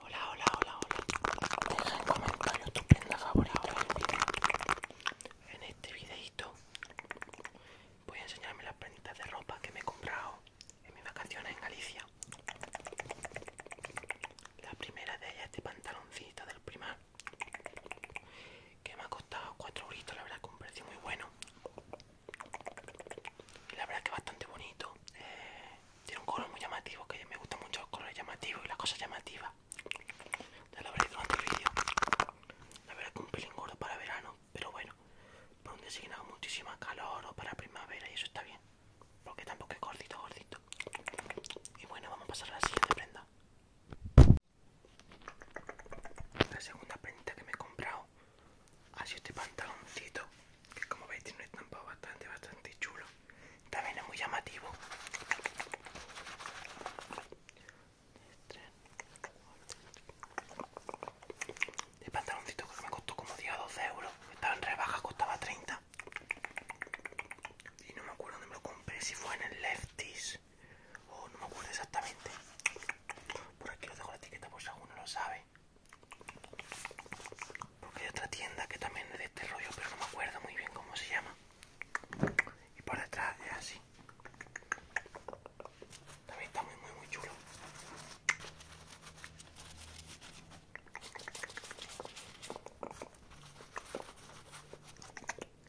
Hola, hola, hola, hola. Deja en comentarios tu prenda En este videito voy a enseñarme las prenditas de ropa que me he comprado en mis vacaciones en Galicia. La primera de ellas es este pantaloncito del primar que me ha costado 4 euritos, la verdad que un precio muy bueno y la verdad es que es bastante bonito eh, tiene un color muy llamativo que me gustan mucho los colores llamativos y las cosas llamativas ya lo habréis vídeo la verdad es que un pelín gordo para verano pero bueno por un día muchísima calor o para primavera y eso está bien porque tampoco es gordito gordito y bueno vamos a pasar a la siguiente prenda la segunda prenda que me he comprado así ah, este pantaloncito que como veis tiene un estampado bastante bastante chulo también es muy llamativo Este pantaloncito que me costó como 10 o 12 euros estaba en rebaja costaba 30 y no me acuerdo dónde me lo compré si fue en el lefties o no me acuerdo exactamente por aquí lo dejo la etiqueta por si alguno lo sabe porque hay otra tienda que también es de este rollo, pero no me acuerdo muy bien cómo se llama. Y por detrás es así. También está muy, muy, muy chulo.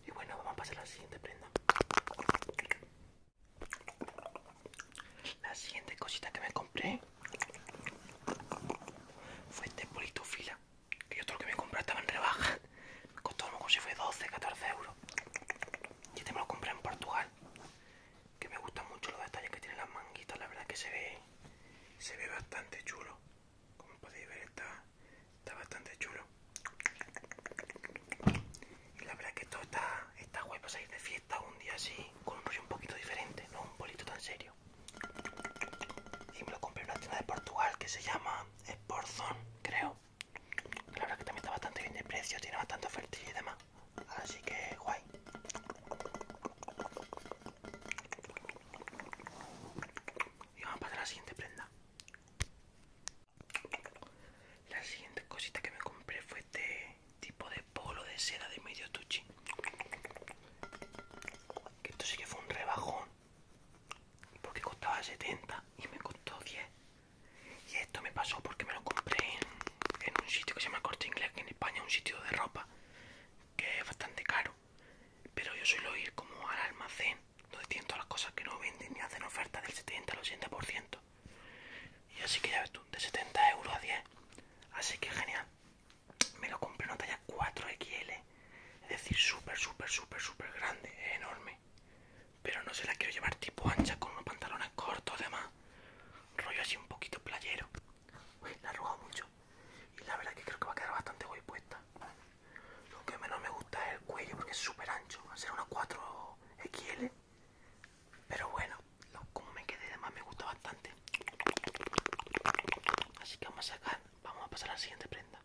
Y bueno, vamos a pasar a la siguiente prenda. La siguiente cosita que me compré fue este polito fila. Que yo todo lo que me compré estaba en rebaja. Me costó como si fue 12, 14 euros. Y este me lo compré en Portugal. Que me gustan mucho los detalles que tienen las manguitas. La verdad que se ve, se ve bastante chulo. Como podéis ver está bastante chulo. Y la verdad es que todo está, guay para salir de fiesta un día así, con un rollo un poquito diferente, no un bolito tan serio. Y me lo compré en una tienda de Portugal que se llama Sportzone creo. La verdad es que también está bastante bien de precio, tiene bastante oferta y demás. Así que guay. Y vamos a pasar a la siguiente prenda. La siguiente cosita que me compré fue este tipo de polo de seda de medio tuchi. Que esto sí que fue un rebajón. Porque costaba 70 y me costó 10. Y esto me pasó porque me lo compré en, un sitio que se llama Corte Inglés, que en España es un sitio de ropa que es bastante caro. Pero yo suelo ir como al almacén no entiendo las cosas que no venden ni hacen oferta del 70 al 80%. Y así que ya ves tú, de 70 euros a 10. Así que genial. Me lo compré una talla 4XL. Es decir, súper, súper, súper, súper grande. Es enorme. Pero no se la quiero llevar tipo ancha con unos pantalones cortos, además. Rollo así un poquito playero. Uy, la rogado mucho. Y la verdad que creo que va a quedar bastante guay puesta. Lo que menos me gusta es el cuello porque es súper ancho. Va a ser unos 4XL. Pero bueno, como me quedé de más me gusta bastante. Así que vamos a sacar, vamos a pasar a la siguiente prenda.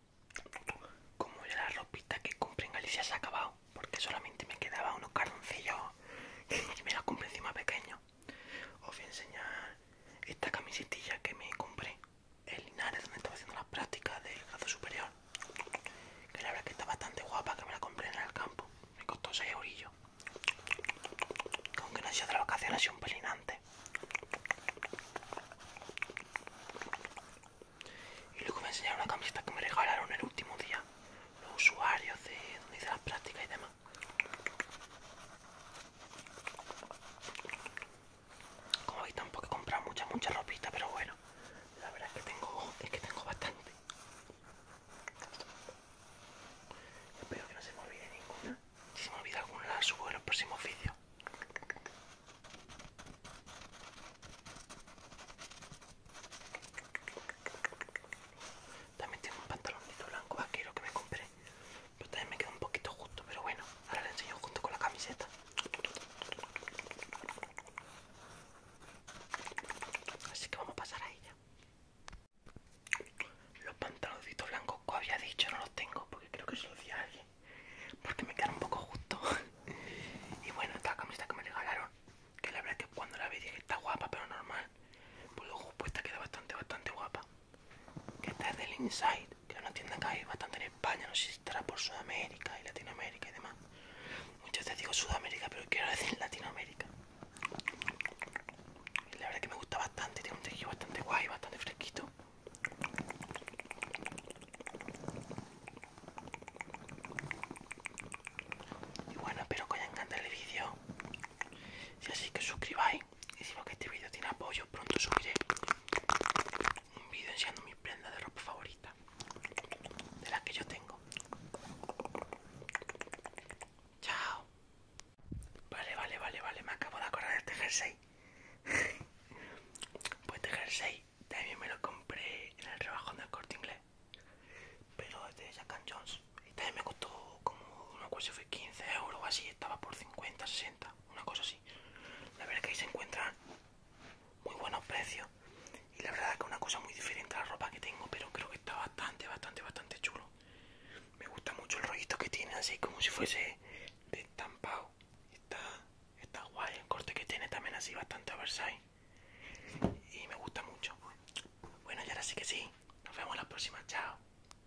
Como ya la ropita que compré en Galicia se ha acabado, porque solamente me quedaba unos cardoncillos y me la compré encima pequeño. Os voy a enseñar esta camisetilla que me compré en Linares donde estaba haciendo las prácticas del grado superior que la verdad que está bastante guapa que me la compré en el campo me costó 6 eurillos aunque no sido de la vacación ha sido un pelinante. y luego me enseñaron una camiseta que me regalaron el último día los usuarios de donde hice las prácticas y demás como hoy tampoco he comprado mucha mucha ropita pero bueno la verdad es que tengo es que tengo bastante espero que no se me olvide ninguna si se me olvida alguna la subo en el próximo oficio. también tengo un pantalónito blanco vaquero ah, que me compré pero también me quedo un poquito justo pero bueno ahora le enseño junto con la camiseta Así que vamos a pasar a ella. Los pantaloncitos blancos como había dicho no los tengo porque creo que es los alguien. Porque me quedaron un poco justo. y bueno, esta camisa que me regalaron, que la verdad es que cuando la vi dije está guapa, pero normal. Pues luego pues esta queda bastante, bastante guapa que está del Inside, que es una tienda que hay bastante en España, no sé si estará por Sudamérica y Latinoamérica y demás. Muchas veces digo Sudamérica, pero quiero decir Latinoamérica. Y la verdad es que me gusta bastante, tiene un tejido bastante guay, bastante fresquito. Y bueno, espero que os haya encantado el vídeo. Si así que suscribáis y si que este vídeo tiene apoyo pronto subiré un vídeo enseñando mis prendas de ropa favorita de las que yo tengo chao vale vale vale vale me acabo de acordar de este jersey pues este jersey también me lo compré en el rebajón del corte inglés pero es de Jack Jones y también me costó como no sé, si fue 15 euros o así estaba por 50 60 una cosa así. La verdad que ahí se encuentran muy buenos precios y la verdad que es una cosa muy diferente a la ropa que tengo, pero creo que está bastante, bastante, bastante chulo. Me gusta mucho el rollito que tiene, así como si fuese de estampado. Está, está guay el corte que tiene también así bastante Versailles y me gusta mucho. Bueno, y ahora sí que sí. Nos vemos la próxima. Chao.